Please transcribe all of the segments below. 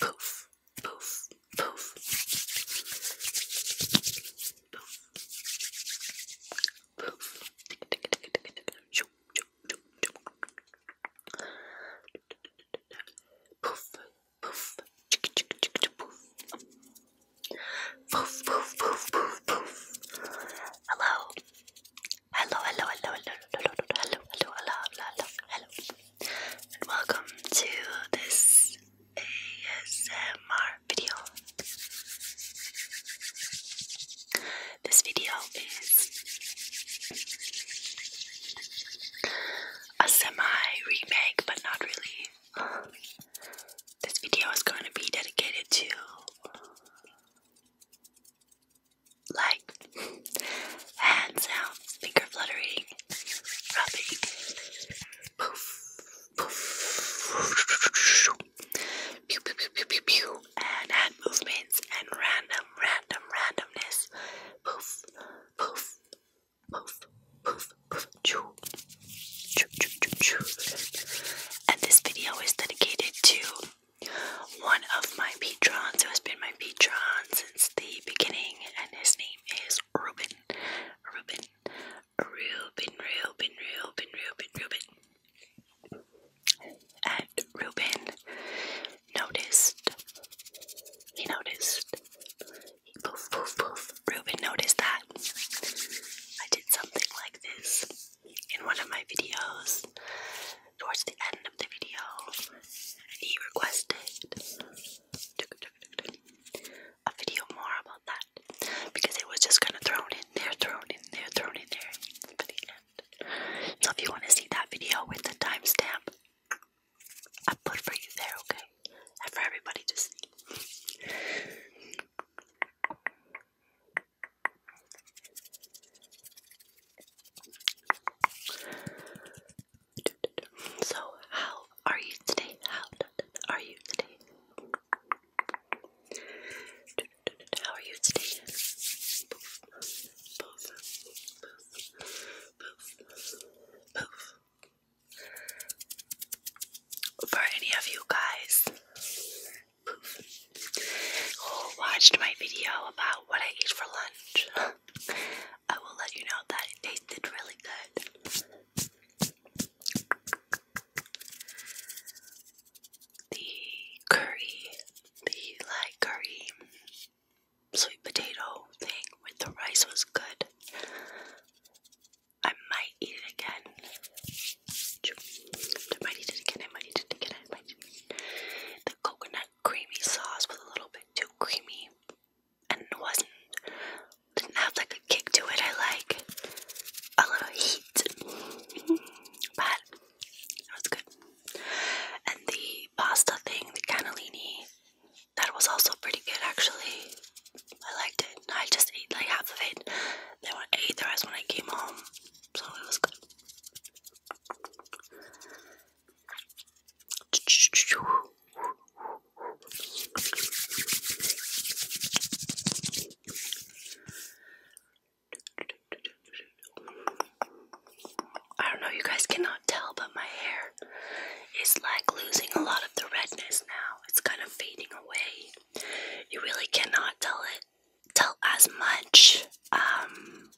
Poof, poof, poof. Poof. Poof. Poof, poof. Chick, chick, chick, chick, poof. Poof, poof, poof, poof, poof. Hello. Hello, hello, hello, hello, hello, hello, hello, hello, hello, hello, and welcome to this ASMR video. This video is a semi-remake, but not really. This video is going to be dedicated to like hand sounds, finger fluttering, rubbing, poof, poof, pew, pew, pew, pew, pew, and hand movements and random, random, randomness, poof, poof, poof, poof, poof, choo, choo, choo, choo, choo and this video is dedicated to one of my patrons who has been my patron since the beginning, and his name is Ruben. Ruben. Ruben, Ruben, Ruben, Ruben, Ruben. And Ruben noticed. He noticed. He poof, poof, poof. Ruben noticed that I did something like this in one of my videos towards the end of the video, and he requested a video more about that because it was just kind of thrown in there, thrown in there, thrown in there for the end. So if you want to see that video with the timestamp, I put for you there, okay? And for everybody to so, how are you today? How are you today? How are you today? for any of you guys who watched my video about what I ate for lunch. I will let you know that it tasted really good. The curry, the like curry sweet potato thing with the rice was good. I might eat it again. I might eat it again. I might eat it again. The coconut creamy sauce was a little bit too creamy, and wasn't didn't have like a kick to it. I like a little heat, but it was good. And the pasta thing, the cannellini, that was also pretty good actually. I liked it. I just ate like half of it. Then I ate the rest when I came home. So it was good. I don't know, you guys cannot tell, but my hair is like losing a lot of the redness now. It's kind of fading away you really cannot tell it tell as much um,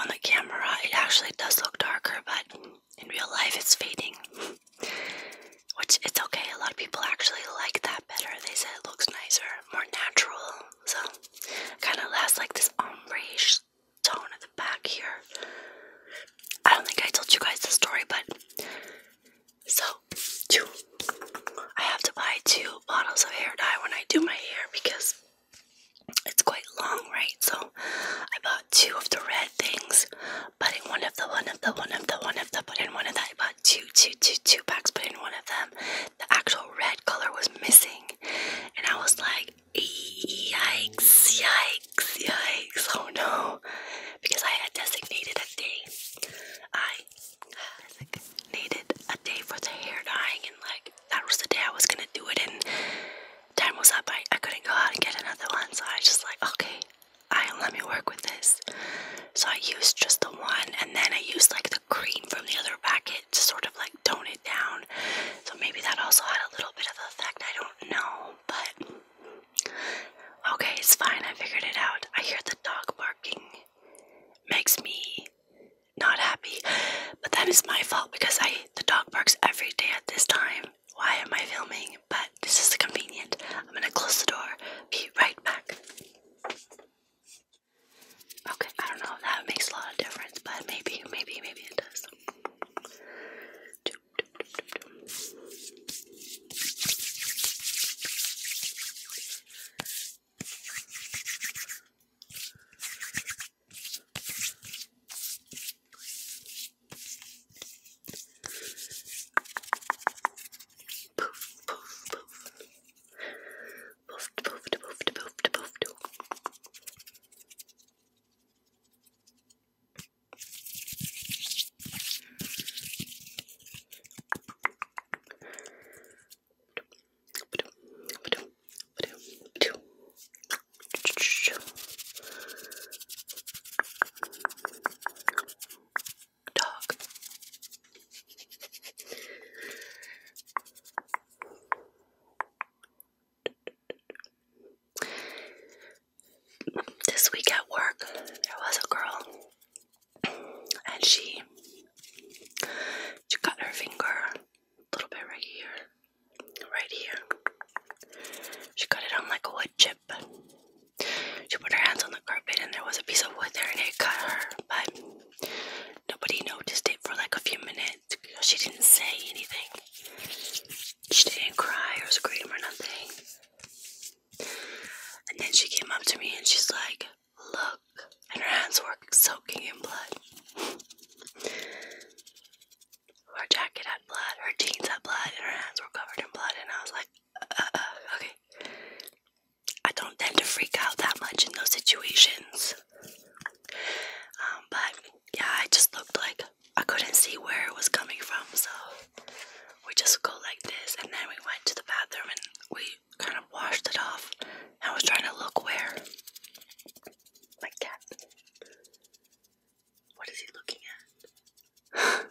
on the camera. It actually does look darker, but in real life it's fading. Which it's okay. A lot of people actually like that better. They say it looks nicer, more natural. So kind of has like this ombre tone at the back here. I don't think I told you guys the story, but so, two. I have to buy two bottles of hair dye when I do my hair because it's quite long, right? So, I bought two of the red things, but in one of the one of the one of the one of the, but in one of that, I bought two, two, two, two packs, but in one of them, the actual red color was missing. And I was like, yikes, yikes. Yikes, oh no. Because I had designated a day. I needed a day for the hair dyeing and like that was the day I was gonna do it and time was up. I, I couldn't go out and get another one, so I was just like, okay, I let me work with this. So I used just the one and then I used like the cream from the other packet to sort of like tone it down. So maybe that also had a little bit of effect, I don't know, but Okay, it's fine. I figured it out. I hear the dog barking. Makes me not happy. But that is my fault because I the dog barks every day at this time. Why am I filming? But this is convenient. I'm gonna close the door. Be right back. Okay, I don't know if that makes a lot of difference, but maybe, maybe, maybe it does. Poof, poof, poof. Poofed, poofed, poofed, poofed, poofed. Dog. This week at work, there was a girl, and she she cut her finger a little bit right here, right here. She cut it on like a wood chip. She put her hands on the carpet, and there was a piece of wood there, and it cut her. But nobody noticed it for like a few minutes. She didn't say anything. She didn't cry or scream or nothing. And then she came up to me and she's like, Look. And her hands were soaking in blood. her jacket had blood, her jeans had blood, and her hands were covered in blood. And I was like, uh, uh, uh, okay. I don't tend to freak out that much in those situations. Um, but yeah, I just looked like I couldn't see where it was coming from, so we just go like this. And then we went to the bathroom and we kind of washed it off. I was trying to look where. My cat. What is he looking at?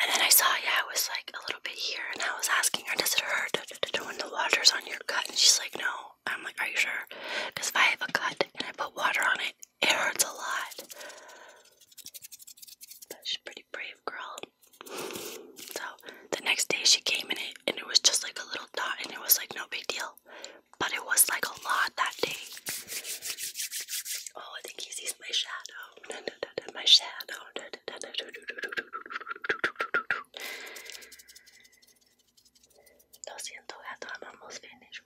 And then I saw, yeah, it was like a little bit here, and I was asking her, does it hurt? throwing the waters on your cut. And she's like, no. I'm like, are you sure? Because I have a cut and I put water on it, it hurts a lot. But she's pretty brave girl. So the next day she came in it and it was just like a little dot and it was like no big deal. But it was like a lot that day. Oh, I think he sees my shadow. My shadow. Lo siento, gato, amamos finish,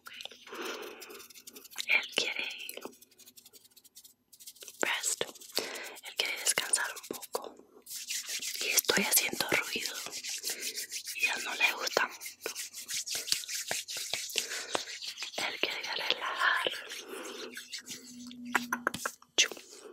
Él quiere ir. Rest. Él quiere descansar un poco. Y estoy haciendo ruido. Y a él no le gusta mucho. Él quiere relajar. Chum.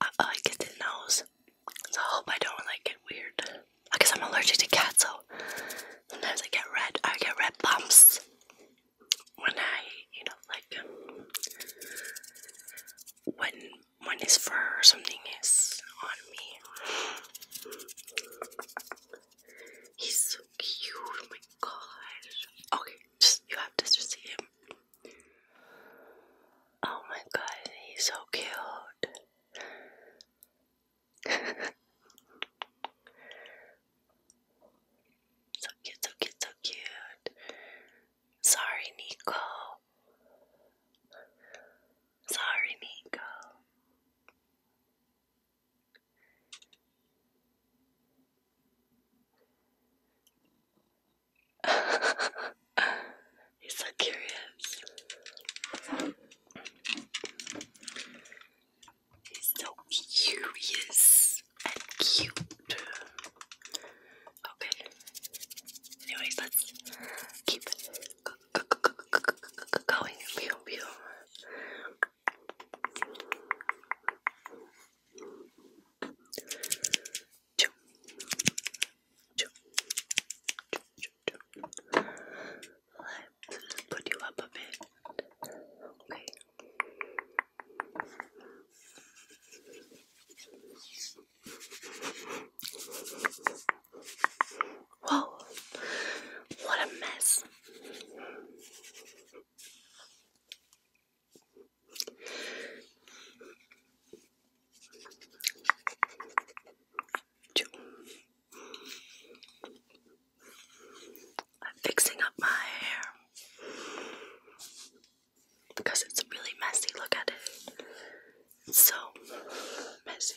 I, I like it nose. So I hope I don't like it weird. I guess I'm allergic to cats, so sometimes I get red. I get red bumps when I, you know, like um, when when his fur or something is on me. He's so cute. Oh my gosh. Okay, just you have to just see him. Oh my god, he's so cute. so cute, so cute, so cute. Sorry, Nico. Sorry, Nico. He's so curious. He's so curious and cute. Okay. Anyways, let's keep going. Pew, pew. Choo. Choo. Choo, choo, put you up a bit. Okay. Whoa, what a mess. I'm fixing up my hair because it's really messy. Look at it. so messy.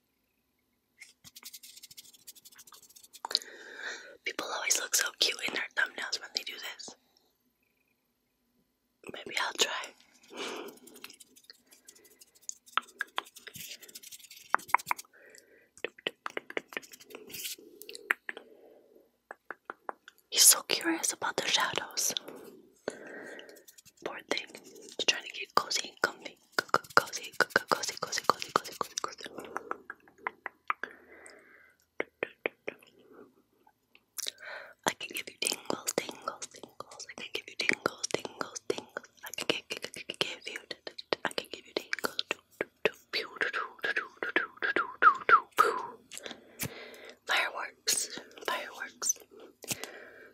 People always look so cute in their thumbnails when they do this. Maybe I'll try. He's so curious about the shadows. Poor thing. She's trying to get cozy comfy. cozy, cozy, cozy, cozy, cozy, cozy, cozy. I can give you tingles, tingles, tingles. I can give you tingles, tingles, tingles. I can give, give, give you. I can give you tingles. Fireworks, fireworks.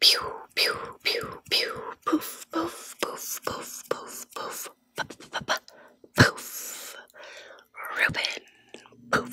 Pew, pew, pew, pew, poof, poof, poof, poof, poof, poof, poof, poof, Ruben, poof.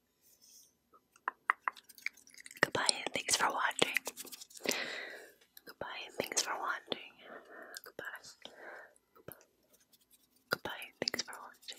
Goodbye thanks for watching. Goodbye thanks for watching. Goodbye. Goodbye. thanks for watching.